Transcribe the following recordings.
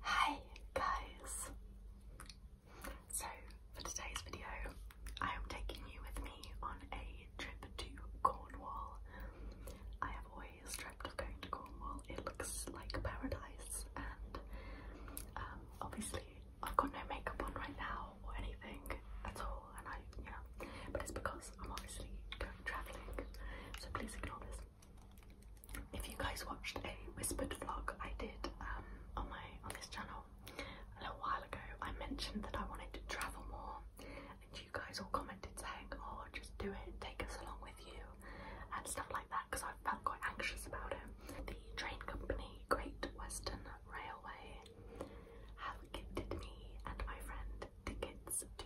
Hi guys! So for today's video I am taking you with me on a trip to Cornwall. I have always dreamt of going to Cornwall. It looks like paradise and um, obviously I've got no makeup on right now or anything at all and I, you know, but it's because I'm obviously going travelling so please ignore this. If you guys watched a whispered vlog I did um, on my on this channel a little while ago, I mentioned that I wanted to travel more, and you guys all commented saying, "Oh, just do it, take us along with you," and stuff like that. Because I felt quite anxious about it. The train company, Great Western Railway, have gifted me and my friend tickets to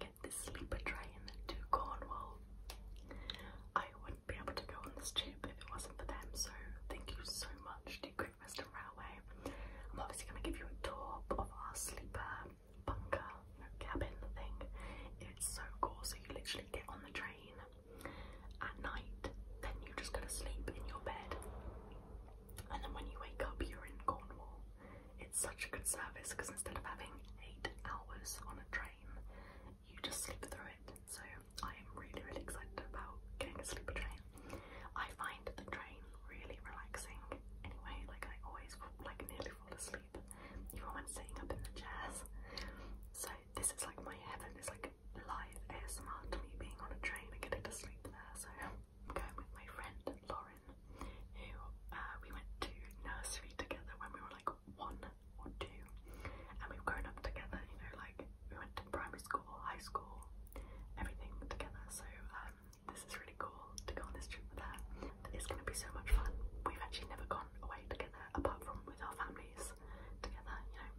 get this sleeper train to Cornwall. I wouldn't be able to go on this trip if it wasn't for them, so thank you so much to Great Western Railway. I'm obviously going to give you a tour of our sleeper bunker, cabin thing. It's so cool, so you literally get on the train at night, then you just go to sleep in your bed, and then when you wake up, you're in Cornwall. It's such a good service because instead of having eight hours on a train, you just sleep through it. So I am really, really excited about getting a sleeper train. I find the train really relaxing anyway, like I always like nearly fall asleep, even when sitting up in the chairs. So this is like my heaven, it's like live ASMR to me being on a train and getting to sleep there. So I'm going with my friend Lauren, who uh, we went to nursery together when we were like one or two, and we've grown up together. You know, like we went to primary school, high school, everything together. So um, this is really cool to go on this trip with her. It's going to be so much fun. We've actually never gone away together apart from with our families together, you know,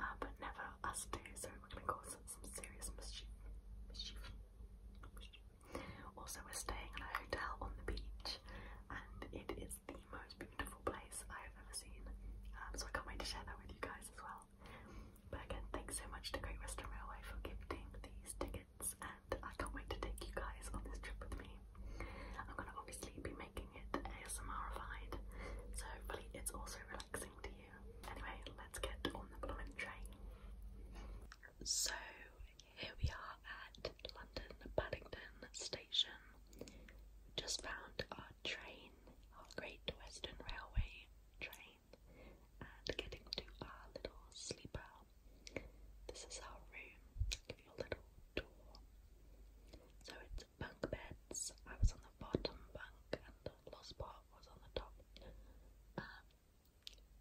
uh, but never us two. So we're going to cause some serious mischief. Also, we're staying in a hotel on the beach, and it is the most beautiful place I have ever seen. Um, so I can't wait to share that with you guys as well. But again, thanks so much to Great Western Railway for giving these tickets, and I can't wait to take you guys on this trip with me. I'm gonna obviously be making it ASMRified, so hopefully it's also relaxing to you. Anyway, let's get on the balloon train. So here we are at London Paddington Station. Just found our train, our Great Western Railway train, and getting to our little sleeper. This is our room. give you a little tour. So it's bunk beds. I was on the bottom bunk, and lost part was on the top. Um,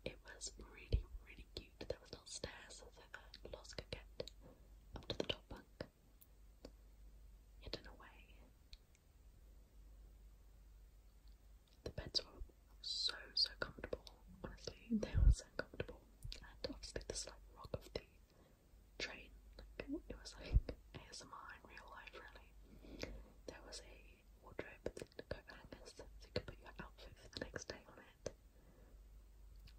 it was really, really cute. There was no stairs, so that Lost could get up to the top bunk, hidden away. The beds were so, so comfortable. Honestly, they were so comfortable. And obviously, the slight rock of the train, like, it was like ASMR in real life, really. There was a wardrobe with coat hangers, so you could put your outfit for the next day on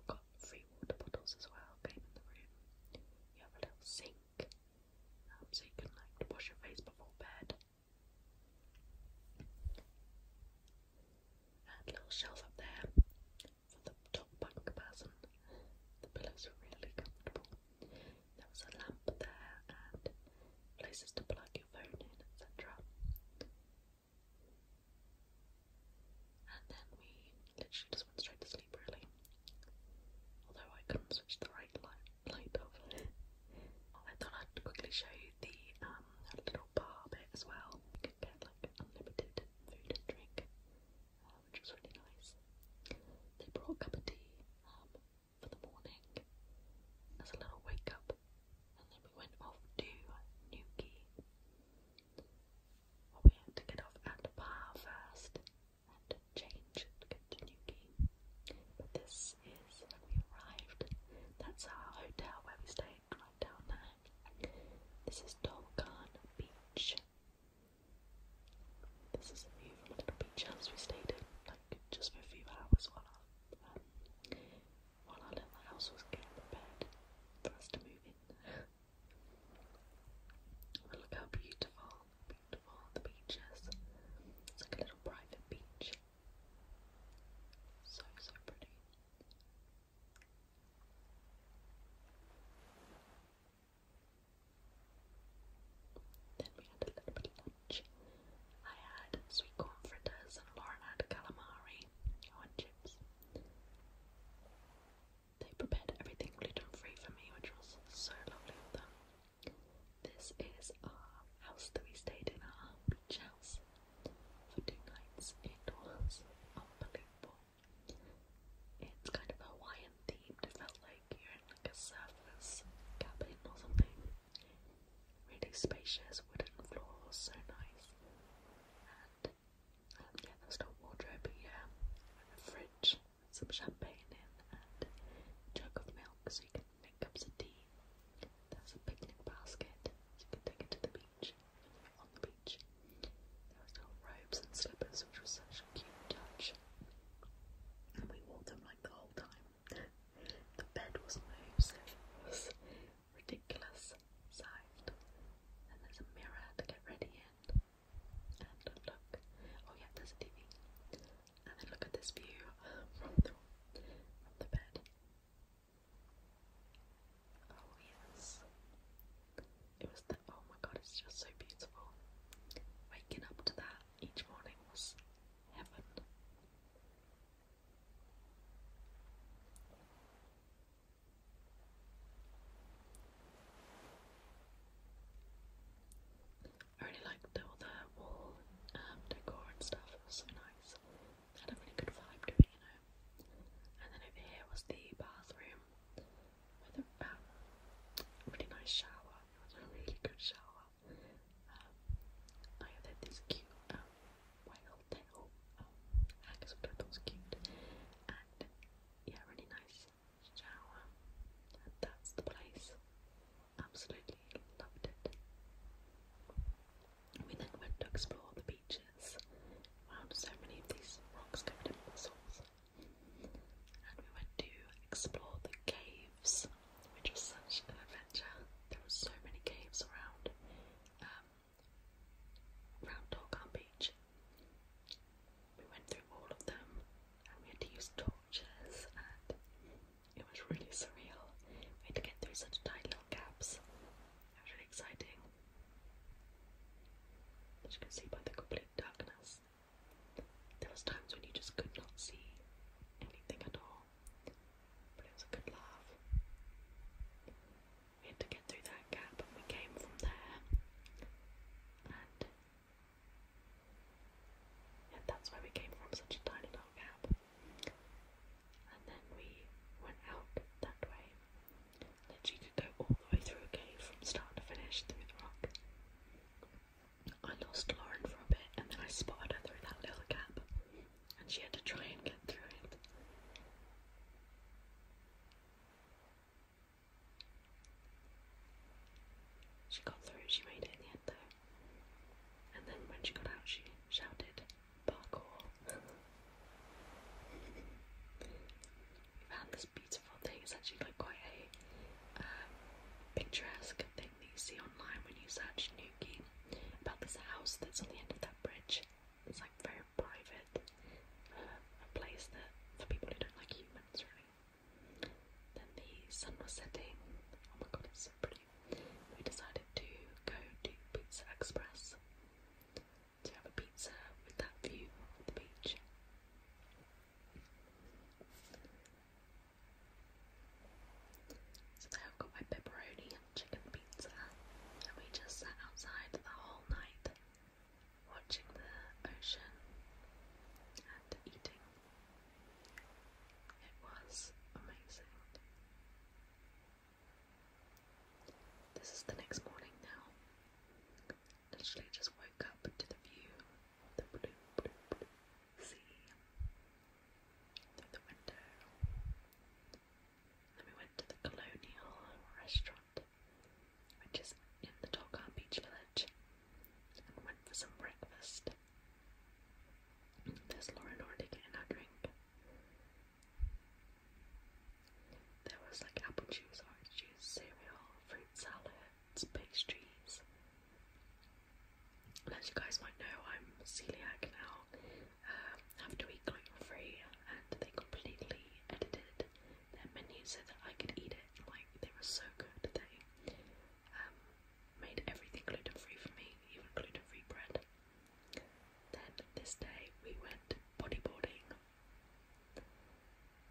Got free water bottles as well, came in the room. You have a little sink, um, so you can like wash your face before bed. a little shelf up there for the top bunk person. The pillows are really comfortable. There was a lamp there and places to plug your phone in, etc. And then we literally just went straight to sleep, really. Although I couldn't switch the right light, light off. I oh, thought I'd quickly show you the um, little bar bit as well. You could get like unlimited food and drink, uh, which was really nice. They brought a cup of tea um, for the morning as a little wake up and then we went off to Newquay. we had to get off at Bar first and change to get to Newquay. But this is we arrived. That's our hotel where we stayed, right down there. This is Dolgan Beach. This is a view beach house we stayed in, like just a few hours while while our little house was getting prepared for us to move in. look how beautiful, beautiful the beach is. It's like a little private beach. So, so pretty. Then we had a little bit of I had sweet corn and Lauren had calamari on chips. They prepared everything gluten free for me, which was so lovely of them. This is our house that we stayed in, our beach house, for two nights. It was unbelievable. It's kind of Hawaiian themed, it felt like you're in like a surfer's cabin or something. Really spacious wooden floors, so nice. And um, yeah, there's no wardrobe, but yeah, a fridge with some champagne in and a jug of milk so you can make cups of tea. There's a picnic basket so you can take it to the beach, on the beach. There was no robes and slippers, which was such a cute touch. And we wore them like the whole time. The bed was low, ridiculous sized. And there's a mirror to get ready in. And look, oh yeah, there's a TV. And then look at this view from the bed. Oh yes. It was the oh my god, it's just so beautiful. Waking up to that each morning was heaven. I really liked the whole um, decor and stuff, it was so nice. had a really good vibe to it, you know. And then over here was the bathroom with a um, really nice shower. It was a really good shower. Um, I had this cute um, whale tail um, because I thought cute, and yeah, really nice shower. And that's the place. Absolutely loved it. We then went to explore the beaches. Found so many of these rocks covered in mussels, and we went to explore the cave caves, was such an adventure. There were so many caves around, um, around Torcon Beach. We went through all of them, and we had to use torches, and it was really surreal. We had to get through such tiny little gaps. It was really exciting, as you can see by the complete darkness. There was times when you just could not see anything at all. But it was a good laugh. We had to get through that gap and we came from there. And yeah, that's where we came from, such a tiny little gap. And then we went out that way. Literally could go all the way through a cave from start to finish through the rock. I lost Lauren for a bit and then I spotted her through that little gap and she had to try and get through it. She got through, she made it in the end though. And then when she got out she shouted, parkour. We've this beautiful thing, it's actually like quite a uh, picturesque thing that you see online when you search Nuki about this house that's on the end of that bridge. It's like very private, uh, a place that for people who don't like humans, really. Then the sun was setting. Oh my god, it's so pretty. We decided to go to Pizza Express to have a pizza with that view of the beach. So i got my pepperoni and chicken pizza, and we just sat outside the whole night watching the ocean and eating. It was amazing. This is the next morning now. Literally just woke up to the view of the blue, blue, blue sea through the window. Then we went to the Colonial restaurant, which is in the Torquay Beach Village, and went for some breakfast. There's Lauren already getting her drink. There was like apple juice, orange juice, cereal, fruit salads, pastries, and as you guys might know, I'm celiac now. Um, have to eat gluten free, and they completely edited their menu so that I could eat it. Like they were so good, they um, made everything gluten free for me, even gluten free bread. Then this day we went bodyboarding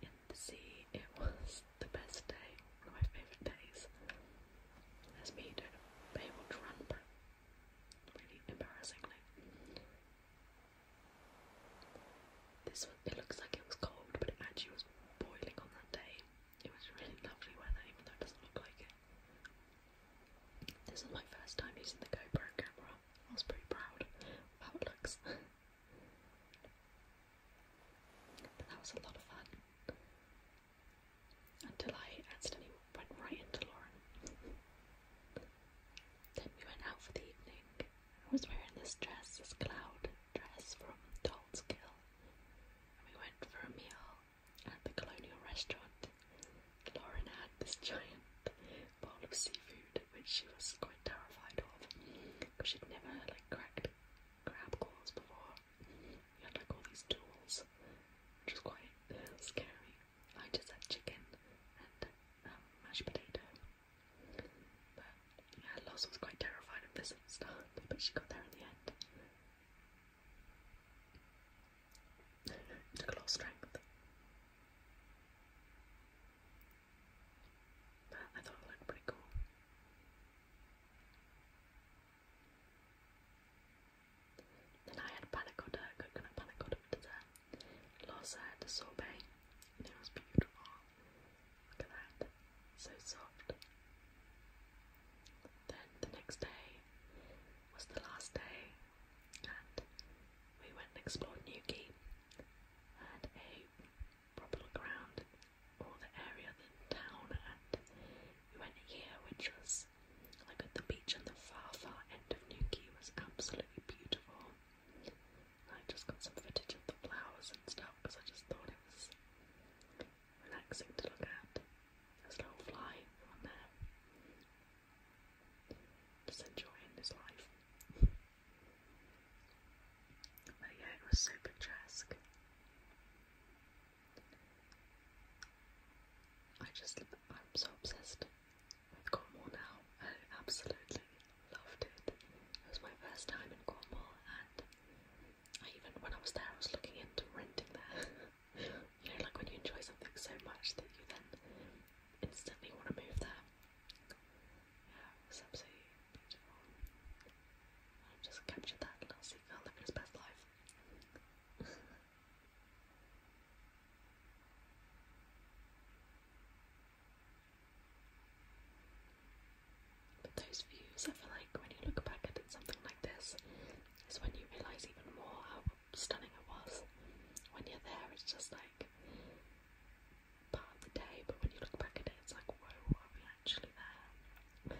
in the sea. It was the best day, one of my favourite days, has been to able to run really embarrassingly. This was, it looks like it was cold, but it actually was boiling on that day. It was really lovely weather, even though it doesn't look like it. This is my first time using the GoPro camera. I was pretty proud of how it looks. that was a lot of fun. Until I accidentally went right into Lauren. then we went out for the evening. I was wearing this dress, this cloud dress from Doll's Kill. And we went for a meal at the Colonial restaurant. Lauren had this giant bowl of seafood, which she was quite terrified of, because she'd never like cracked crab claws before. He had like all these tools, which is quite uh, scary. I just had chicken and um, mashed potato. But yeah, Loss was quite terrified of this at the start, but she got there in the end. took a lot of strength. But I thought it looked pretty cool. Then I had panacotta, coconut panacotta for dessert. Last had sorbet, and it was beautiful. Look at that, so soft. Then the next day was the last day, and we went and explored Newquay. Had a proper look around all the area, the town, and we went here, which was like at the beach and the far, far end of Newquay was absolutely beautiful. I just got some footage of the flowers and stuff because I just thought it was relaxing to look at. There's a little fly on there, just enjoying his life. But yeah, it was so picturesque. I just, I'm so obsessed with Cornwall now. I absolutely loved it. It was my first time in Cornwall, and I even when I was there, I was looking into renting there. you know, like when you enjoy something so much that you then instantly want to move there. It's absolutely beautiful. i just captured that little seagull living his best life. but those views, I feel like when you look back at it, something like this, is when you realise even more how stunning it was. When you're there, it's just like part of the day, but when you look back at it, it's like, whoa, are we actually there?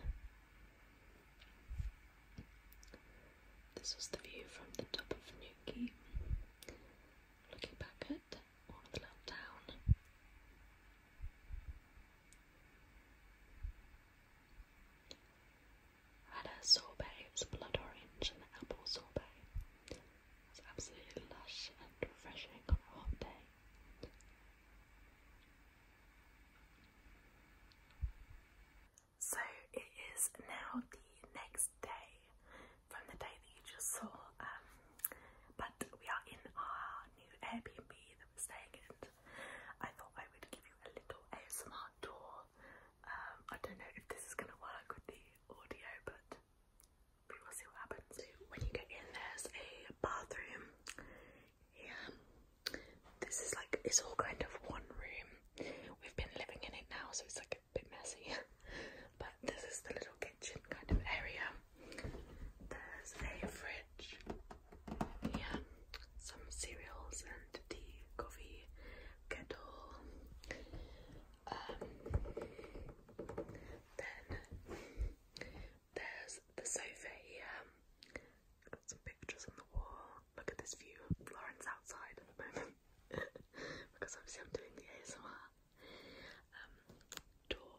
this was the view from the top of Nuki, looking back at all of the little town. had a sorbet, it was blood orange and apple sorbet. It's absolutely lush and refreshing on a hot day. So it is now the next day from the day that you just saw, um, but we are in our new Airbnb that we're staying in. I thought I would give you a little ASMR tour. Um, I don't know if this is going to work with the audio, but we will see what happens. when you get in, there's a bathroom. Yeah, this is like it's all kind of one room. We've been living in it now, so it's like a bit messy. but this is the little kitchen kind of area. There's a fridge. Yeah, some cereals and tea, coffee, kettle. Um, then there's the sofa here. Got some pictures on the wall. Look at this view of Florence outside at the moment. because obviously I'm doing the ASMR. door.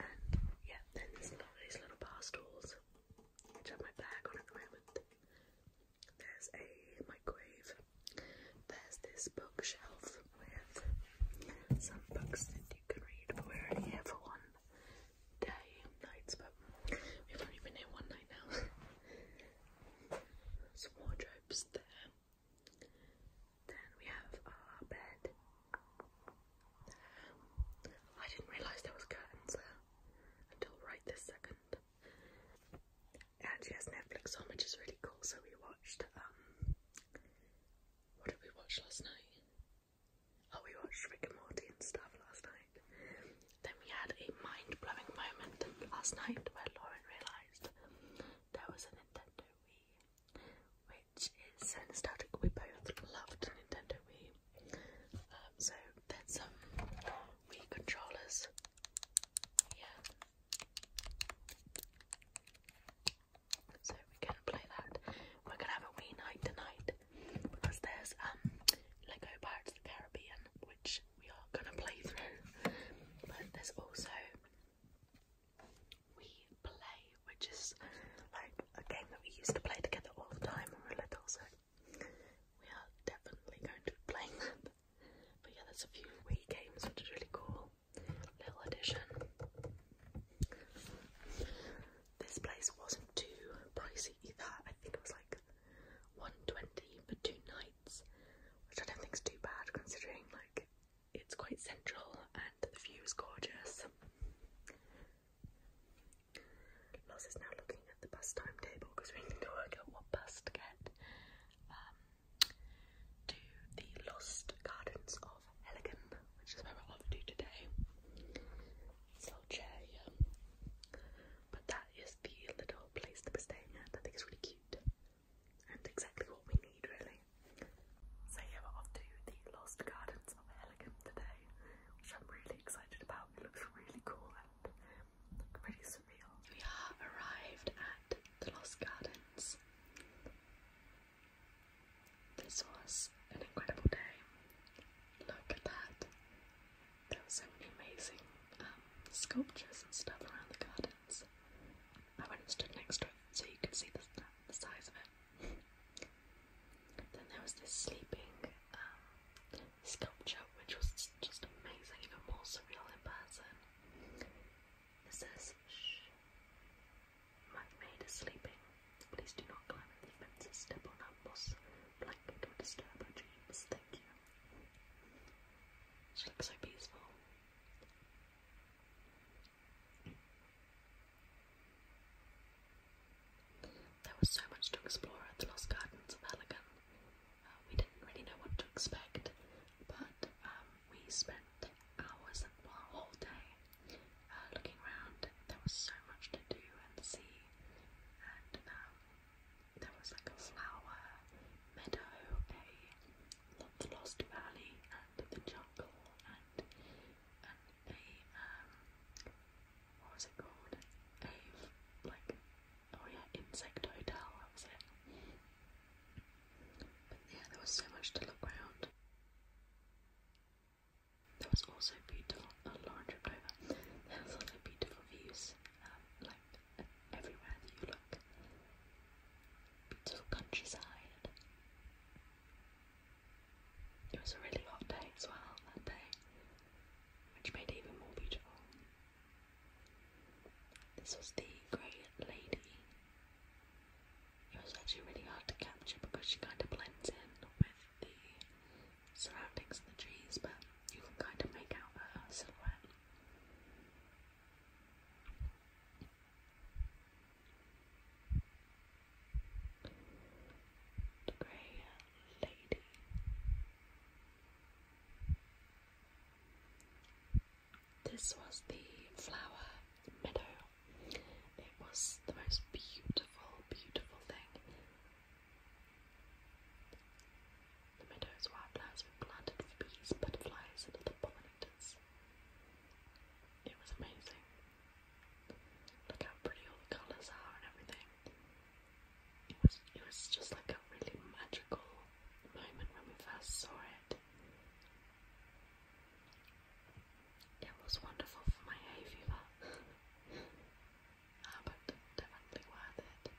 Um, and yeah, then there's little bar stools, which have my bag on at the moment. There's a microwave. There's this bookshelf with some books that can read, we're only here for one day and nights, but we've only been here one night now. Some wardrobes there. Then we have our bed. I didn't realise there was curtains there until right this second. And actually has Netflix on, which is really cool, so we watched um what did we watch last night? Oh, we watched Rick and Morty and stuff last night. Then we had a mind blowing moment last night where Lauren realised there was a Nintendo Wii, which is so nostalgic. We both loved Nintendo Wii. Um, so there's some Wii controllers. Yeah. So we're gonna play that. We're gonna have a wee night tonight because there's um Lego Pirates of the Caribbean, which we are gonna play through. But there's also We Play, which is like a game that we used to play together all the time when we were little, so we are definitely going to be playing that. But yeah, there's a few wee games which is really cool little addition. This place wasn't too pricey either. I think it was like 120 for two nights, which I don't think is too bad considering like it's quite central and the view is gorgeous. Loz is now looking at the bus timetable because we need to work out what bus to get. Um, to the Lost Gardens of Heligan, which is where we're off to today. This little chair But that is the little place that we're staying at. I think it's really cute and exactly what we need, really. So, yeah, we're off to the Lost Gardens of Heligan today, which I'm really excited about. It looks really cool and pretty surreal. We have arrived at the Lost Gardens. This was an incredible day. Look at that. There were so many amazing um, sculptures and stuff around the gardens. I went and stood next to it so you could see the, size of it. then there was this sleeping um, sculpture which was just amazing, even more surreal in person. It says, My maid is sleeping. Please do not climb the fences, step on her moss blanket, or disturb her dreams. Thank you. She looks so peaceful. There was so much to explore at the Lost Gardens of Allegan. Uh, we didn't really know what to expect, but um, we spent hours, well, a whole day uh, looking around. There was so much to do and see, and um, there was like a flower meadow, a the lost valley, and the jungle, and a um, what was it called? A like oh yeah, insect hotel. That was it. But yeah, there was so much to look round. There was also beautiful. Oh, Lauren tripped There was also beautiful views, um, like everywhere that you look. Beautiful countryside. It was a really hot day as well that day, which made it even more beautiful. This was the great Lady it was actually really hard to capture because she kind of blends in with the surroundings of the trees, but you can kind of make out her silhouette. The grey lady. This was the flower meadow. It was the most beautiful, beautiful thing. The meadows wildflowers were planted for bees, butterflies, and other pollinators. It was amazing. Look how pretty all the colours are and everything. It was it was just like a really magical moment when we first saw it. It was wonderful for my hay ah, but definitely worth it.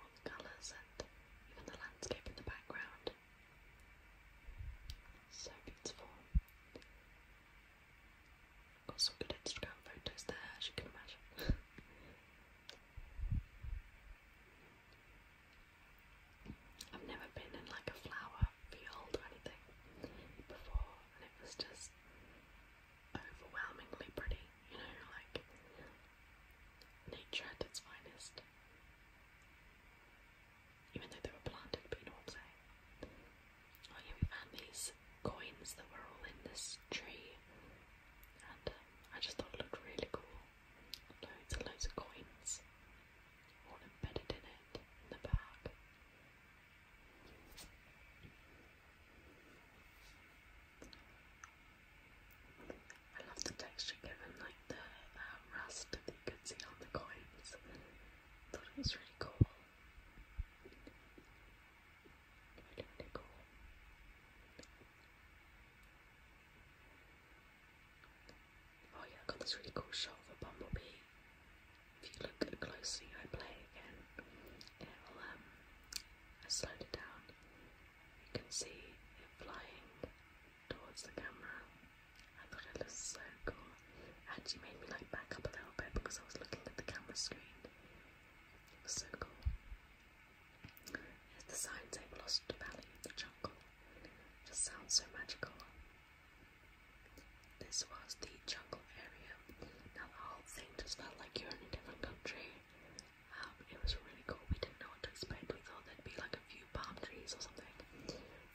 All the colours and even the landscape in the background. So beautiful. Got some good Instagram photos there, as you can imagine. I've never been in like a flower field or anything before, and it was just overwhelmingly pretty, you know, like nature at its finest. Even though they were planted, but you know what I'm saying. Oh yeah, we found these coins that were all in this tree, and um, I just thought it looked really cool. Loads and loads of coins, all embedded in it, in the bag. I love the texture given, like the uh, rust that you could see on the coins. thought it was really cool. really cool. Oh yeah, I got this really cool shot of a bumblebee. If you look closely, I play again. Um, I slowed it down. You can see it flying towards the camera. I thought it so cool. It actually made me like back up a little bit because I was looking at the camera screen. It was so cool the sign say, lost valley the jungle. It just sounds so magical. This was the jungle area. Now the whole thing just felt like you're in a different country. Um, it was really cool. We didn't know what to expect. We thought there'd be like a few palm trees or something.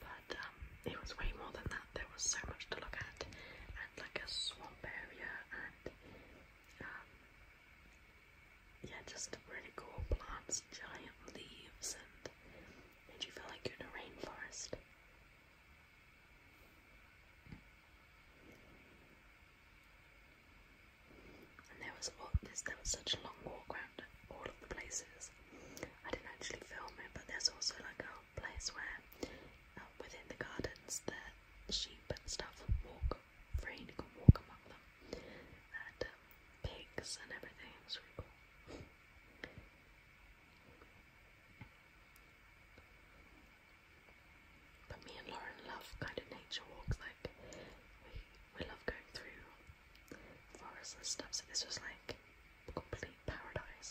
But um, it was way more than that. There was so much to look at. And like a swamp area and um, yeah, just really cool plants, giant leaves, and made you feel like you're in a rainforest. And there was all There was such a long walk around all of the places. I didn't actually film it, but there's also like a place where uh, within the gardens that sheep and stuff walk rain, to go walk among them, and uh, pigs and everything, it's really cool. But me and Lauren love kind of nature walks, like we we love going through forests and stuff. So this was like complete paradise.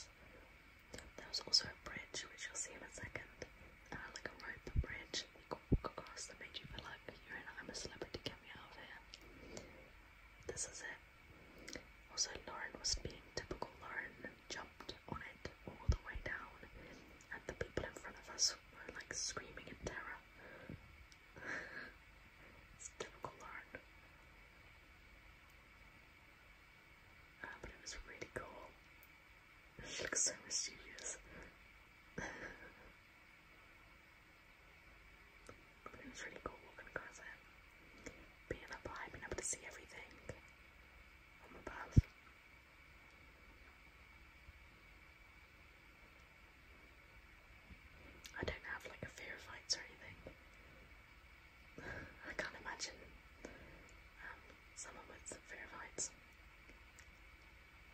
There was also a bridge, which you'll see in a second, uh, like a rope bridge situation got, got us made you feel like you're in I'm a celebrity, get me out of here. This is it. Also, Lauren was being typical Lauren, jumped on it all the way down, and the people in front of us were like screaming in terror. it's typical Lauren. Uh, but it was really cool. She looks so mysterious. but it was really cool walking across it. Being up high, being able to see everything from above. I don't have like a fear of heights or anything. I can't imagine um, someone with fear of heights.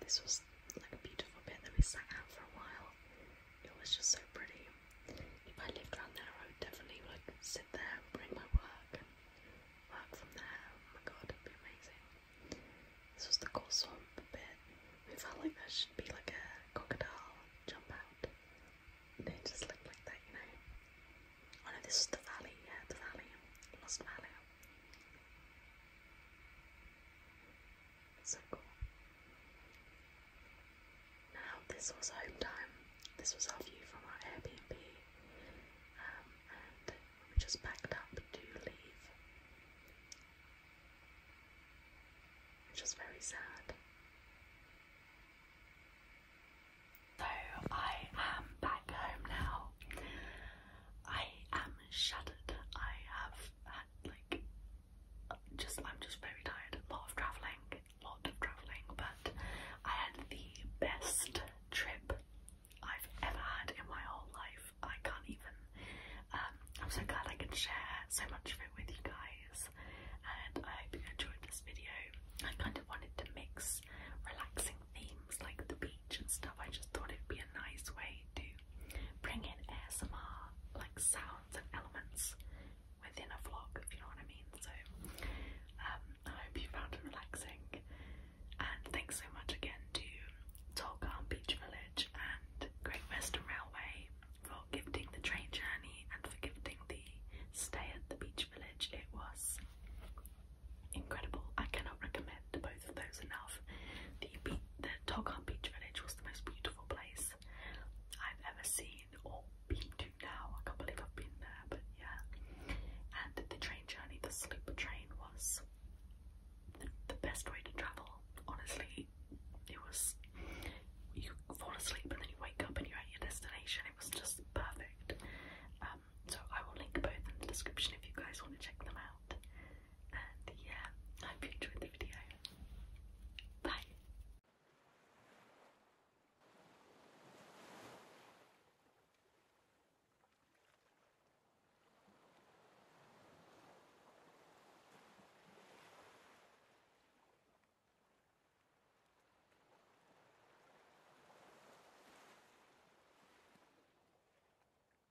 This was like a beautiful bit that we sat out for a while. It was just so pretty. If I lived around there, I would definitely like sit there and bring my work and work from there. Oh my god, it'd be amazing. This was the cool swamp bit. We felt like there should be like a crocodile jump out. They just look like that, you know. Oh no, this is the valley, yeah, the valley. Lost Valley. It's so cool. Now, this was home time. This was our view from our Airbnb. Um, and we just packed up to leave. Which was very sad. So I am back home now. I am shattered. I have had like just I'm just very tired. A lot of traveling, a lot of traveling, but I had the best trip I've ever had in my whole life. I can't even. Um, I'm so glad I could share so much of it with you guys, and I hope you enjoyed this video. I kind of wanted to mix relaxing themes like the beach and stuff. I just thought it'd be a nice way to bring in ASMR like sounds and elements within a vlog, if you know what I mean. So um, I hope you found it relaxing, and thanks so much again to Tolkien Beach Village and Great Western Railway for gifting the train journey and for gifting the stay at the beach village. It was incredible. I cannot recommend both both of those enough. The beach, the Togham Beach Village was the most beautiful place I've ever seen or been to now. I can't believe I've been there, but yeah. And the train journey, the sleeper train, was the, best way to travel. Honestly, it was. You fall asleep and then you wake up and you're at your destination. It was just perfect. Um, so I will link both in the description if you guys want to check them out. And yeah, I hope you enjoyed the video. Bye.